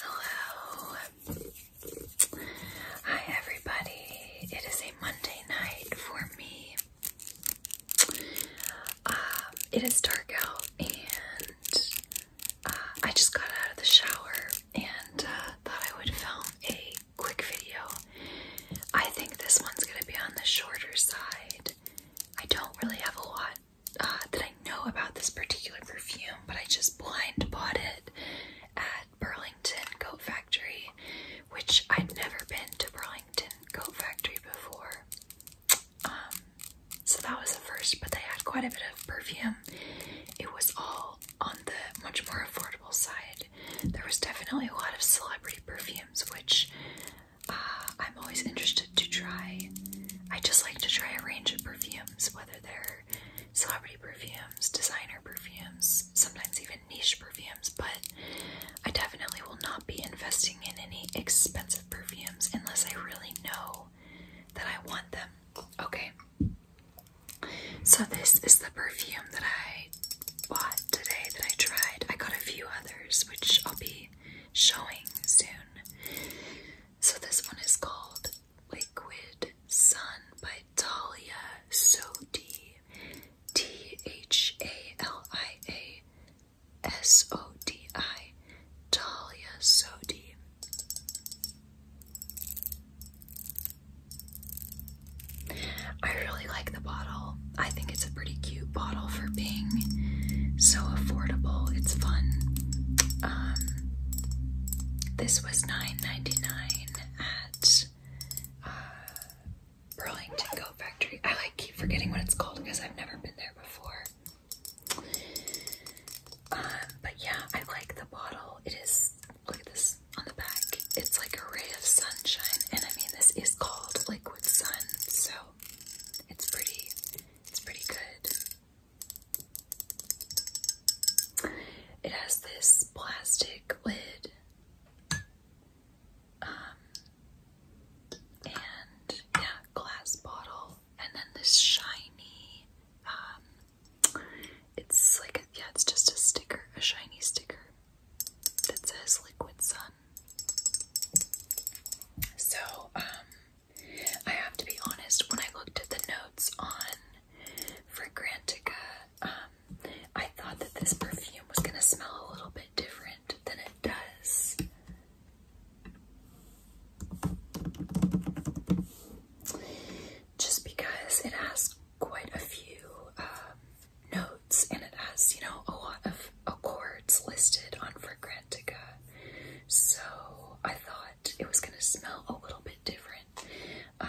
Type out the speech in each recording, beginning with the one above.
Hello. Hi, everybody. It is a Monday night for me. Um, it is dark out, and uh, I just got out of the shower and uh, thought I would film a quick video. I think this one's going to be on the shorter side. I don't really have a lot uh, that I know about this particular perfume, but I just blind bought it at Burlington Coat Factory, which I'd never been to Burlington Coat Factory before. Um, so that was the first, but they had quite a bit of perfume. It was all on the much more affordable side. There was definitely a lot of celebrity perfumes, which uh, I'm always interested to try. I just like to try a range of perfume whether they're celebrity perfumes, designer perfumes, sometimes even niche perfumes, but I definitely will not be investing in any expensive perfumes unless I really know that I want them. Okay. So this is the perfume that I bought today that I tried. I got a few others which I'll be showing soon. So this one is called Liquid Sun by Dahlia Sodi. T H A L I A S O D I. Talia Sodi. I really like the bottle. I think it's a pretty cute bottle for being so affordable. It's fun. Um, this was nine ninety nine at uh, Burlington Coat Factory. I keep forgetting what it's called because I've never been there before. Um, but yeah, I like the bottle. It is look at this on the back. It's like a ray of sunshine, and I mean this is called liquid sun, so it's pretty it's pretty good. It has this plastic lid, um, and yeah, glass bottle, and then this shiny, um, it's like, yeah, it's just a sticker, a shiny sticker that says Liquid Sun. So, um, I have to be honest, when I looked at the notes on Fragrantica, um, I thought that this perfume was going to smell a little bit different than it does. Just because it has quite a few um, notes and it has, you know, a lot of accords listed on Fragrantica. So I thought it was gonna smell a little bit different. Um,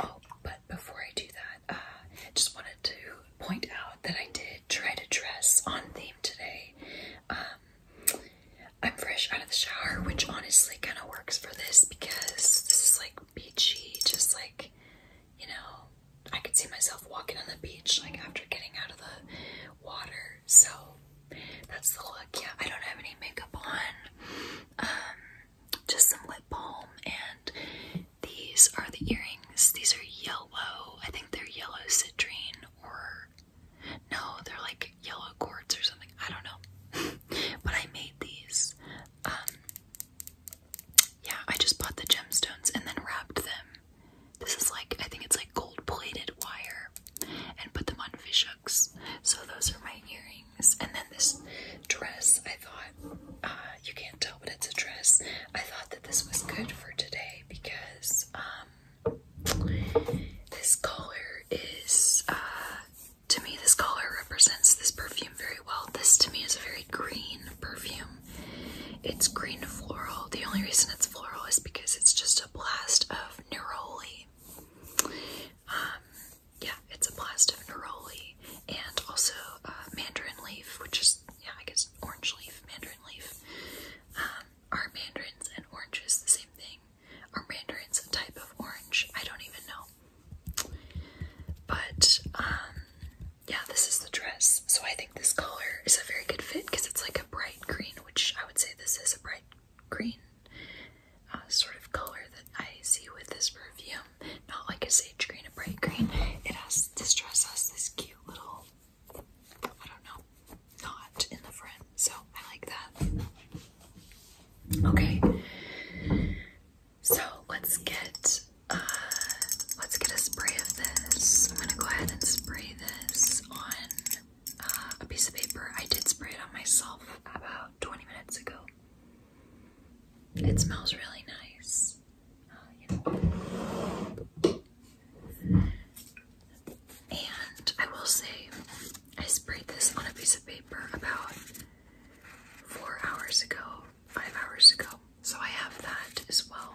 oh, but before I do that, uh, I just wanted to point out that I did try to dress on theme today. Um, I'm fresh out of the shower, which honestly kind of works for this because this is like beachy, just like, you know, I could see myself walking on the beach like after getting out of the water so that's the look. Yeah, I don't have any makeup on. Um, just some lip balm, and these are the earrings. These are yellow. I think they're yellow citrine, or no, they're like yellow quartz or something. I don't know. but I made these. Um, yeah, I just bought the gemstones and then wrapped them. This is like, I think it's like gold plated wire and put them on fish So those are my earrings. And then this dress, I thought, uh, you can't tell, but it's a dress. I thought that this was good for today because um, this color is, uh, to me, this color represents this perfume very well. This to me is a very green perfume. It's green floral. The only reason it's floral is because it's just a blast of neroli um, yeah, it's a blast of neroli and also uh, mandarin leaf, which is, yeah, I guess orange leaf, mandarin leaf. Um, are mandarins and oranges the same thing? Are mandarins a type of orange? I don't even know. But, um, yeah, this is the dress. So I think this color is a very good fit because it's like a bright green, which I would say this is a bright green uh, sort of color that I see with this perfume. Not like a sage green, a bright green. It has this dress has this cute little I don't know knot in the front, so I like that. Okay. So let's get uh, let's get a spray of this. I'm gonna go ahead and spray this on uh, a piece of paper. I did spray it on myself about 20 minutes ago. It smells really nice. Uh, and I will say, I sprayed this on a piece of paper about four hours ago, five hours ago. So I have that as well.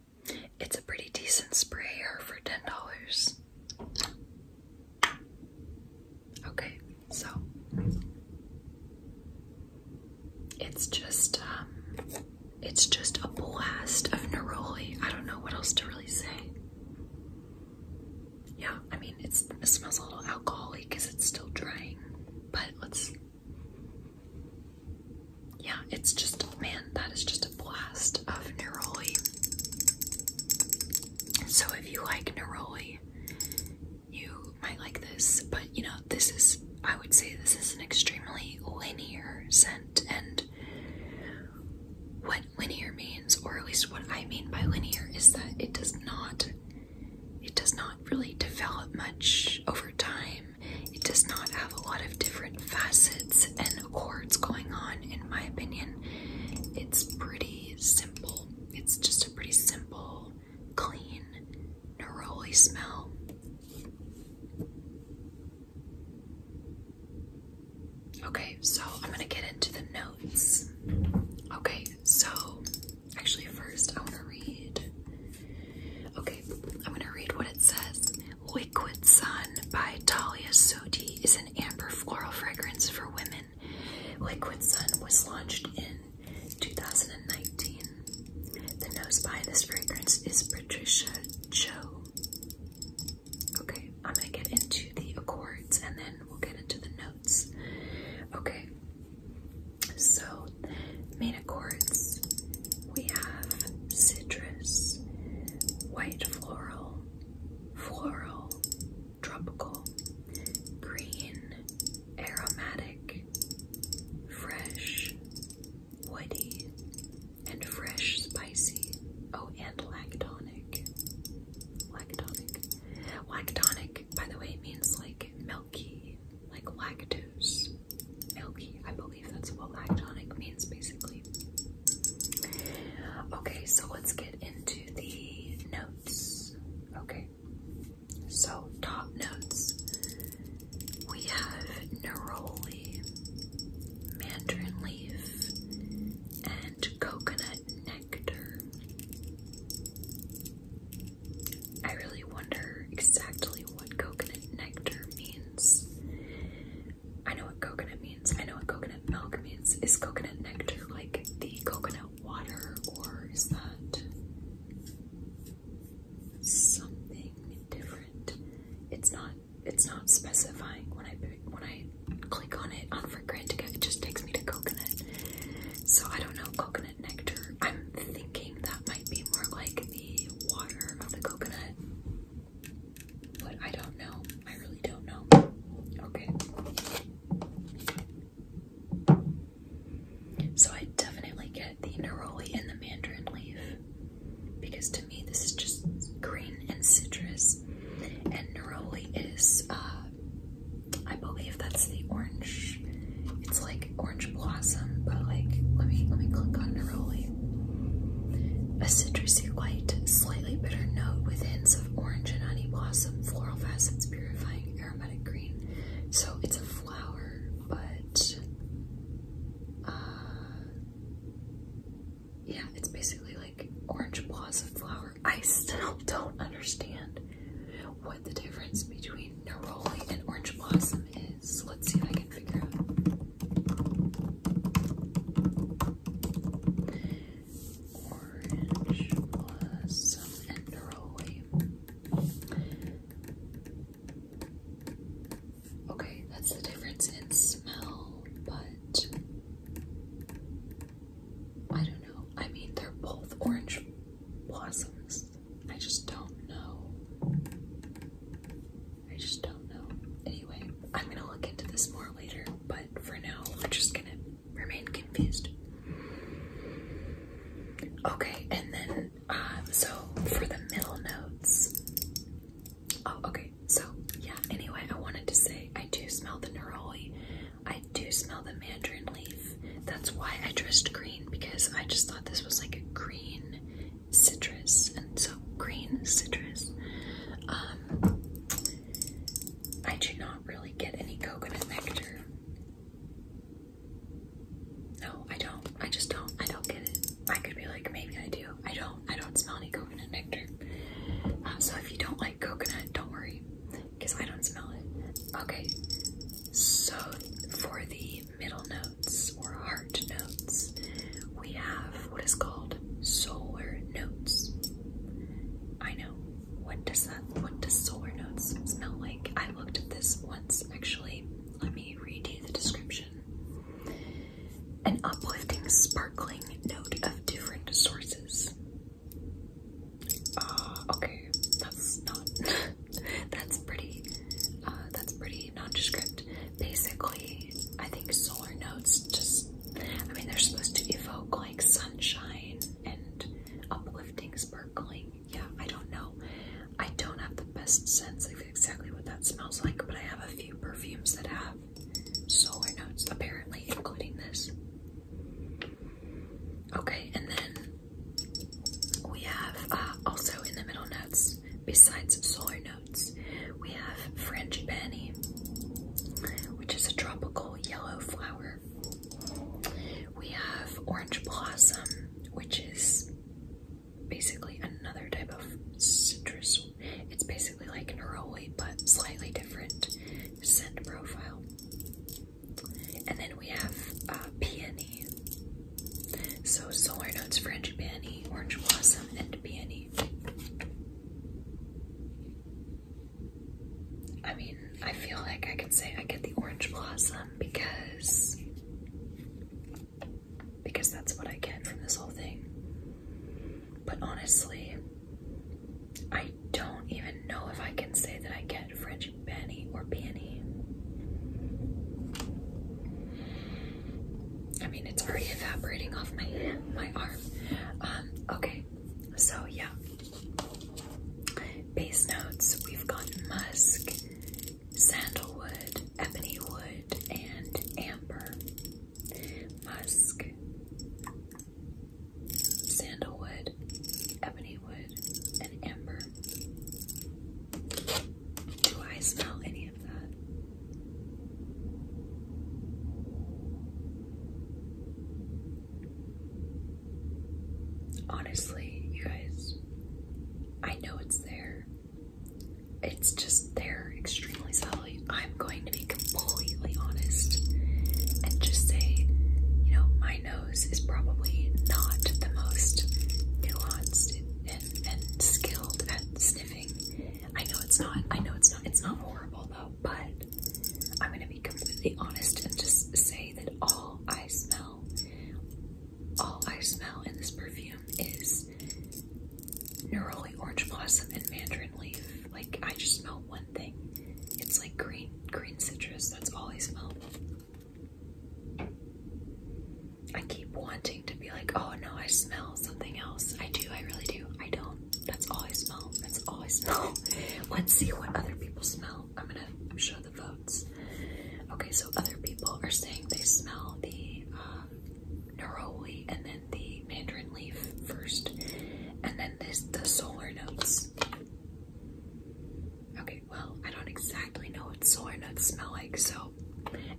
It's a pretty decent sprayer for $10. Okay, so it's just um, it's just a blast of neroli. I don't know what else to really say. Yeah, I mean it smells a little alcoholic because it's still drying, but let's yeah, it's just man, that is just blast of neroli. So if you like neroli, you might like this, but you know, this is, I would say, this is an extremely linear scent. And what linear means, or at least what I mean by linear, is that it does not, it does not really develop much over time. It does not a lot of different facets and chords going on, in my opinion. It's pretty simple. It's just a pretty simple, clean, neroli smell. Okay, so I'm gonna get into the notes. Okay, so actually, first I wanna read. Okay, I'm gonna read what it says. Liquid Sun by Talia Soti is an amber floral fragrance for women. Liquid Sun was launched in 2019. The nose behind this fragrance is Patricia Cho. Okay, I'm gonna get into the accords and then we'll get into the notes. Okay, so main accords we have citrus, white floral, floral, tropical, green, aromatic, fresh, woody, and fresh spicy. Oh, and lactonic. Lactonic. Lactonic, by the way, means like milky, like lactose. Milky, I believe that's what lactonic means basically. Okay, so let's get into the notes. Okay, so top notes we have neroli, mandarin leaf, and coconut nectar. I really wonder exactly what coconut nectar means. I know what coconut means. I know what coconut milk means. Is coconut nectar like the coconut water, or is that something different? It's not. It's not specifying when I when I click on it on for granted. It just takes me to coconut. So I don't know coconut nectar. I'm thinking that might be more like the water of the coconut. But I don't know. I really don't know. Okay. So I definitely get the neroli and the mandarin leaf because to me this is just green and citrus, and neroli is, uh, I believe that's the orange. It's like orange blossom, but like let me let me click on neroli. A citrusy light, slightly bitter note with hints of orange and honey blossom, floral facets, purifying aromatic green. So it's a flower, but uh, yeah, it's basically like orange blossom flower. I still don't understand what the difference between neroli and orange blossom is. Let's see if I can figure out. Orange blossom and Okay, that's the difference in smell, but I don't know. I mean, they're both orange blossoms. I just don't know. I just don't know. Anyway, I'm gonna look into this more later, but for now, we're just gonna remain confused. Okay, and then, uh, so for the middle notes. Oh, okay, so yeah, anyway, I wanted to say I do smell the neroli, I do smell the mandarin leaf. That's why I dressed green because I just thought this was like a green citrus, and so green citrus. Um, I do not really get any coconut nectar. No, I don't. I just don't. I don't get it. I could be like, maybe I do. I don't. I don't smell any coconut nectar. Uh, so if you don't like coconut, don't worry, because I don't smell it. Okay. So for the middle notes or heart notes, we have what is called solar notes. I know. What does that what does solar notes smell like? I looked at this once actually. Let me read you the description. An uplifting, sparkling note of different sources. Ah, okay. That's not that's pretty uh, that's pretty nondescript. Basically, I think solar notes just I mean, they're supposed to evoke like sunshine and uplifting, sparkling. Yeah, I don't know. I don't have the best sense of exactly what that smells like, but I have a few perfumes that have solar notes, apparently, including this. Okay, and then we have uh, also in the middle notes, besides solar notes we have frangipani, which is a tropical yellow flower. We have orange blossom, which is basically another type of citrus. It's basically like neroli, but slightly different scent profile. And then we have uh, peony. So solar notes, frangipani, orange blossom, and peony. I mean, I feel like I can say I get the orange blossom because because that's what I get from this whole thing. But honestly, I don't even know if I can say that I get French Benny or Peony. I mean, it's already evaporating off my my arm. Um, okay, so yeah. Base notes, we've got musk, sandalwood, ebony wood, and amber. Musk, sandalwood, ebony wood, and amber. Do I smell any of that? Honestly, you guys, I know it's there. It's just there, extremely solid. I'm going to be completely honest and just say, you know, my nose is probably not the most nuanced and, and skilled at sniffing. I know it's not. I know it's not. It's not horrible though. But I'm gonna be completely honest and just say that all I smell, all I smell in this perfume is neroli, orange blossom, and mandarin leaf. Like I just smell one thing. It's like green, green citrus. That's all I smell. I keep wanting to be like, oh no, I smell something else. I do. I really do. I don't. That's all I smell. That's all I smell. Let's see what other people smell. I'm gonna show the votes. Okay, so other people are saying they smell the um, neroli and then the mandarin leaf first, and then this the solar notes. Okay, well, I don't exactly know what solar notes smell like, so.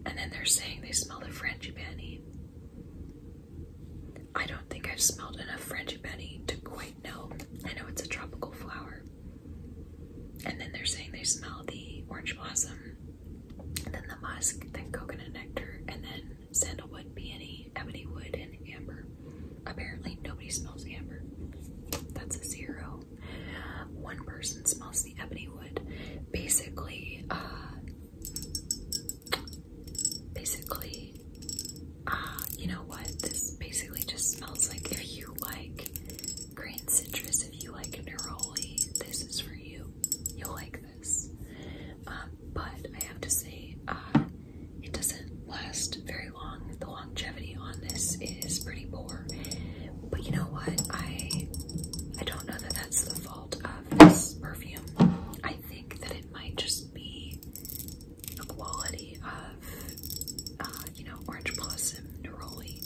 And then they're saying they smell the frangipani. I don't think I've smelled enough Frangipani to quite know. I know it's a tropical flower. And then they're saying they smell the orange blossom, then the musk, then coconut nectar, and then sandalwood, peony, ebony wood, and amber. Apparently, nobody smells amber. That's a zero. One person smells the ebony wood. Basically, uh, basically, uh, you know what? This basically just smells like if you like green citrus, if you like neroli, this is for you. You'll like this. Um, but I have to say, uh, it doesn't last very long. The longevity on this is pretty poor. But you know what? I I don't know that that's the fault of this perfume. I think that it might just be the quality of, uh, you know, orange blossom neroli.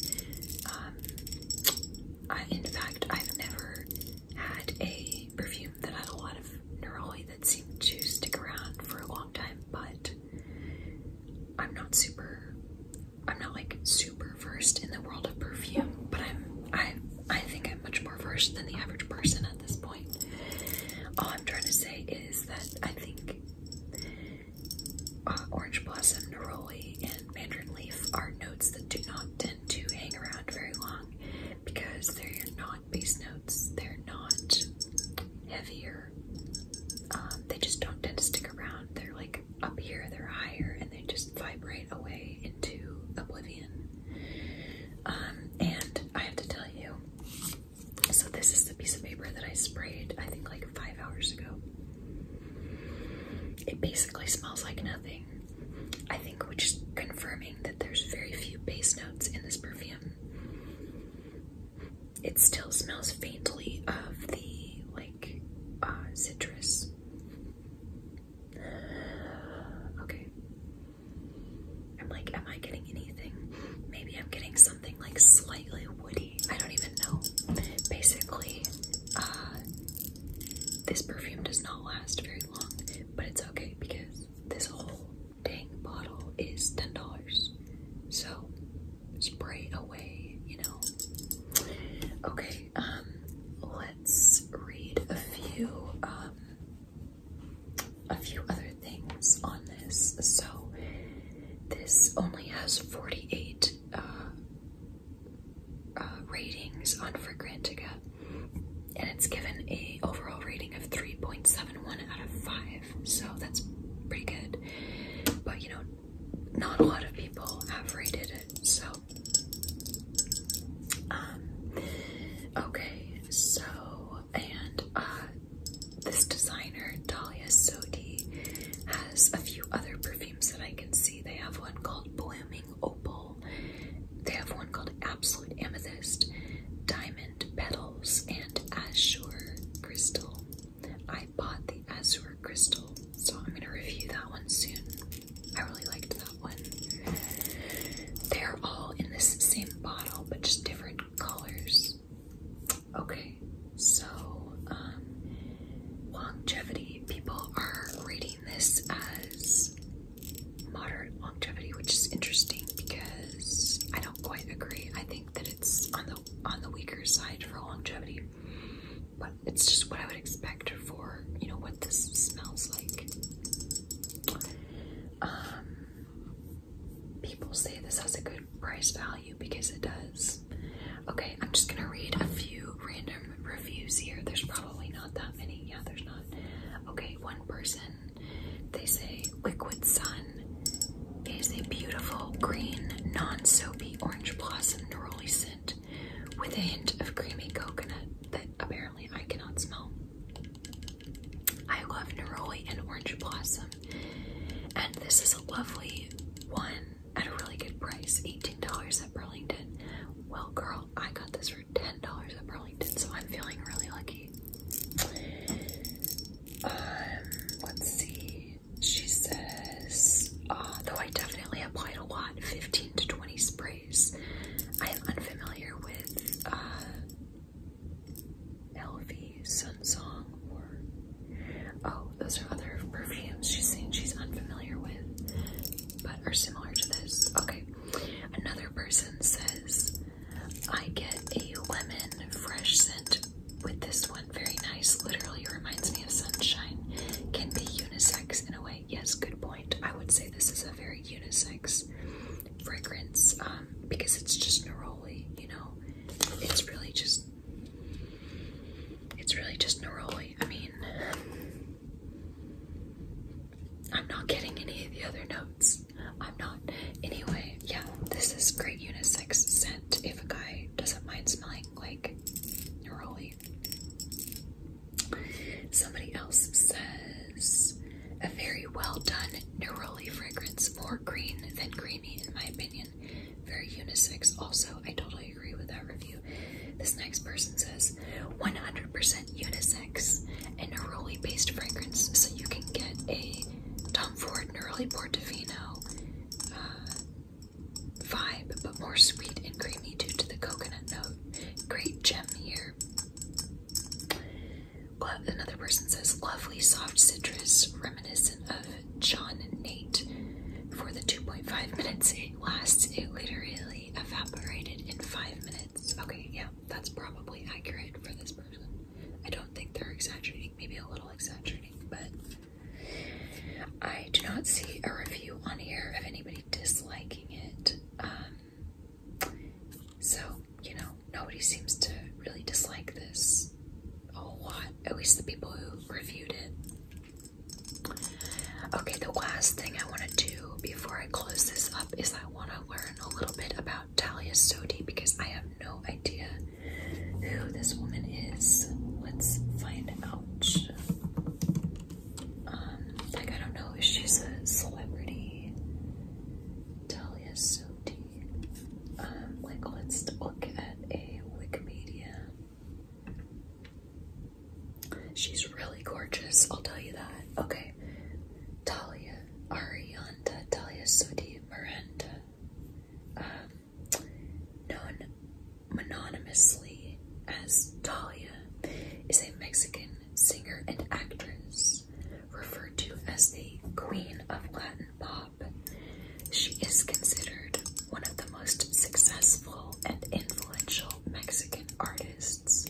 Um, I, in fact, I've never had a perfume that had a lot of neroli that seemed to stick around for a long time, but I'm not super, I'm not like super versed in the world of perfume, but I'm I I think I'm much more versed than the average person at this point. All I'm trying to say is that I think uh, orange blossom, neroli, and mandarin leaf are notes that do not tend to hang around very long because they're not base notes. They're not heavier. Um, they just don't tend to stick around. They're like up here, they're higher, and they just vibrate away into oblivion. Um, and I have to tell you, so this is the piece of paper that I sprayed, I think like five hours ago. It basically smells like nothing. I think which is confirming that there's very few base notes in this perfume. It still smells faintly of the like uh, citrus. Okay, I'm like, am I getting anything? Maybe I'm getting something like slightly woody. I don't even know. Basically, uh, this perfume does not last very long, but it's okay because this whole dang bottle is $10. So spray away, you know. Okay, um, let's read a few um, a few other things on this. So this only has 48 uh, uh, ratings on Fragrantica, and it's given a overall rating of 3.71 out of 5. So that's pretty good. But you know, not a lot of people have rated it. So um, okay, so, and uh, this designer, Dahlia Sodi, has a few other perfumes that I can see. They have one called Blooming Opal, they have one called Absolute Amethyst, Diamond Petals, and Azure Crystal. I bought the Azure Crystal, so I'm going to review that one soon. I really liked that one. They're all in the same bottle, but just different colors. Okay, so um, longevity. People are reading this as moderate longevity, which is interesting because I don't quite agree. I think that it's on the on the weaker side for longevity, but it's just what I would expect for you know what this smells like. Um, people say this has a good price value because it does. Okay, I'm just gonna read a few random reviews here. There's probably not that many. Yeah, there's not. Okay, one person, they say Liquid Sun is a beautiful green, non soapy orange blossom neroli scent with a hint of creamy coconut that apparently I cannot smell. I love neroli and orange blossom. And this is a lovely one at a really good price. $18 at Burlington. Well girl, I got this for $10 at Burlington, so I'm feeling really lucky. Um, let's see. She says, ah, though I definitely applied a lot, 15 to 20 sprays I am unfamiliar with uh, LV, Sunsong, or oh, those are other perfumes she's saying she's unfamiliar with, but are similar to this. Okay, another person says, I get a lemon fresh scent with this one. Very nice, literally reminds me of sunshine. Can be unisex in a way. Yes, good point. I would say this is a very unisex fragrance um, because it's just neroli. You know, it's really just it's really just neroli. I mean, I'm not getting any of the other notes. I'm not. Anyway, yeah, this is great unisex scent if a guy doesn't mind smelling like neroli. Somebody else says a very well done neroli fragrance, more green than creamy, in my opinion. Very unisex. Also, I totally agree with that review. This next person says 100% unisex and neroli based fragrance, so you can get a Tom Ford neroli portofino. Uh, vibe, but more sweet and creamy due to the coconut note. Great gem here. Another person says, lovely soft citrus, reminiscent of John Nate. For the 2.5 minutes it lasts, it literally evaporated in 5 minutes. Okay, yeah, that's probably accurate for this person. I don't think they're exaggerating, maybe a little exaggerating, but I do not see a review on here of anybody disliking it. Um, so, you know, nobody seems to really dislike this a whole lot, at least the people who reviewed it. Okay, the last thing I want to do before I close this up is I want to learn a little bit about Talia Sodi because I have no idea who this woman is. Let's find out. Um, like I don't know she's a celebrity. Talia Soti. Um, like let's look at a Wikipedia. She's really gorgeous, I'll tell you that. Okay. Talia Arianta Talia Soti Miranda. Um, known mononymously as Talia is a Mexican singer and actress, referred to as the Queen of Latin Pop. She is considered one of the most successful and influential Mexican artists,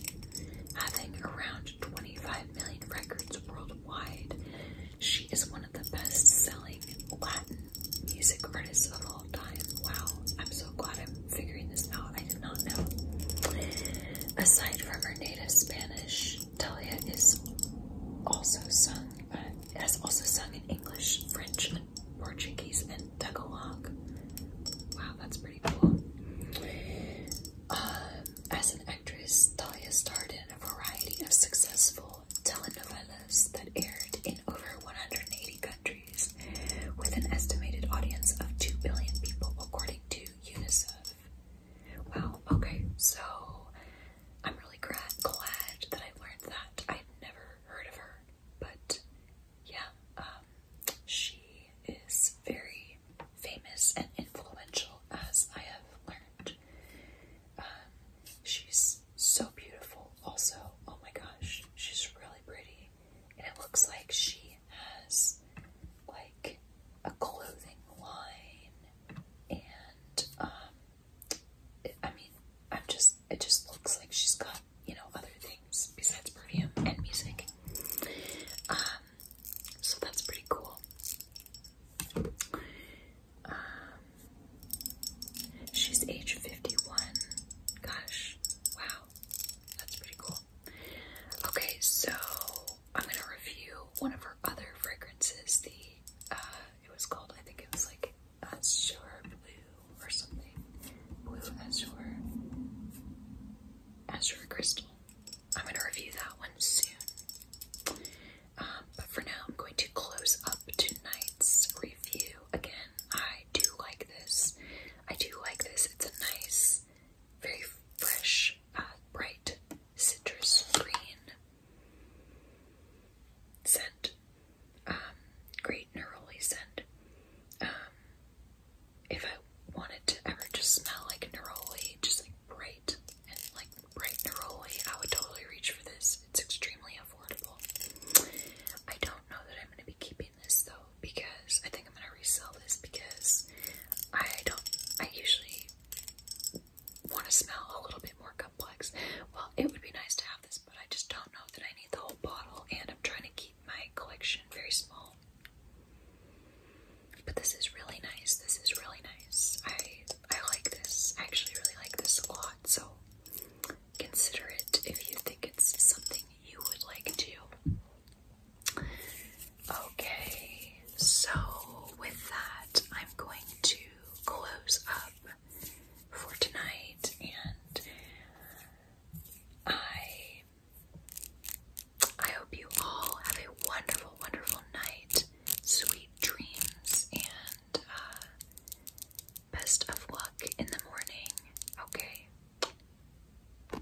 having around 25 million records worldwide. She is one of the best-selling Latin music artists of all time. Wow, I'm so glad I am figuring this out. I did not know. Aside from her native Spanish, Talia is also sung uh, has also sung in English, French, Portuguese, and Tagalog. Wow, that's pretty cool. Um, as an actress, Talia starred in a variety of successful telenovelas that aired in over 180 countries, with an estimated audience of 2 billion people, according to UNICEF. Wow, okay, so I'm really glad, that I learned that. I'd never heard of her, but yeah, um, she is very famous and influential, as I have learned. Um, she's so beautiful, also. Oh my gosh, she's really pretty and it looks like she has like a clothing line and um it, I mean I'm just it just looks like she's got you know other things besides perfume and music um so that's pretty cool um she's age 51 gosh wow that's pretty cool. Okay, so I'm gonna review one of her other fragrances. The uh, it was called I think it was like Azure Blue or something. Blue Azure, Azure Crystal. I'm gonna review that one soon. Um, but for now, I'm going to close up tonight's review. Again, I do like this. I do like this. It's a nice very fresh, uh, bright citrus green scent. Um, great neroli scent. Um, if I wanted to ever just smell like neroli, just like bright and like bright neroli, I would totally reach for this. It's extremely affordable. I don't know that I'm going to be keeping this though because I think I'm gonna resell this because I don't I usually want to smell a little bit more complex. Well, it would be nice to have this, but I just don't know that I need the whole bottle, and I'm trying to keep my collection very small. But this is really nice. This is really nice. I I like this. I actually really like this a lot. So consider it if you think it's something you would like to Okay, so with that, I'm going to close up for tonight, and I I hope you all have a wonderful, wonderful night, sweet dreams, and uh, best of luck in the morning. Okay.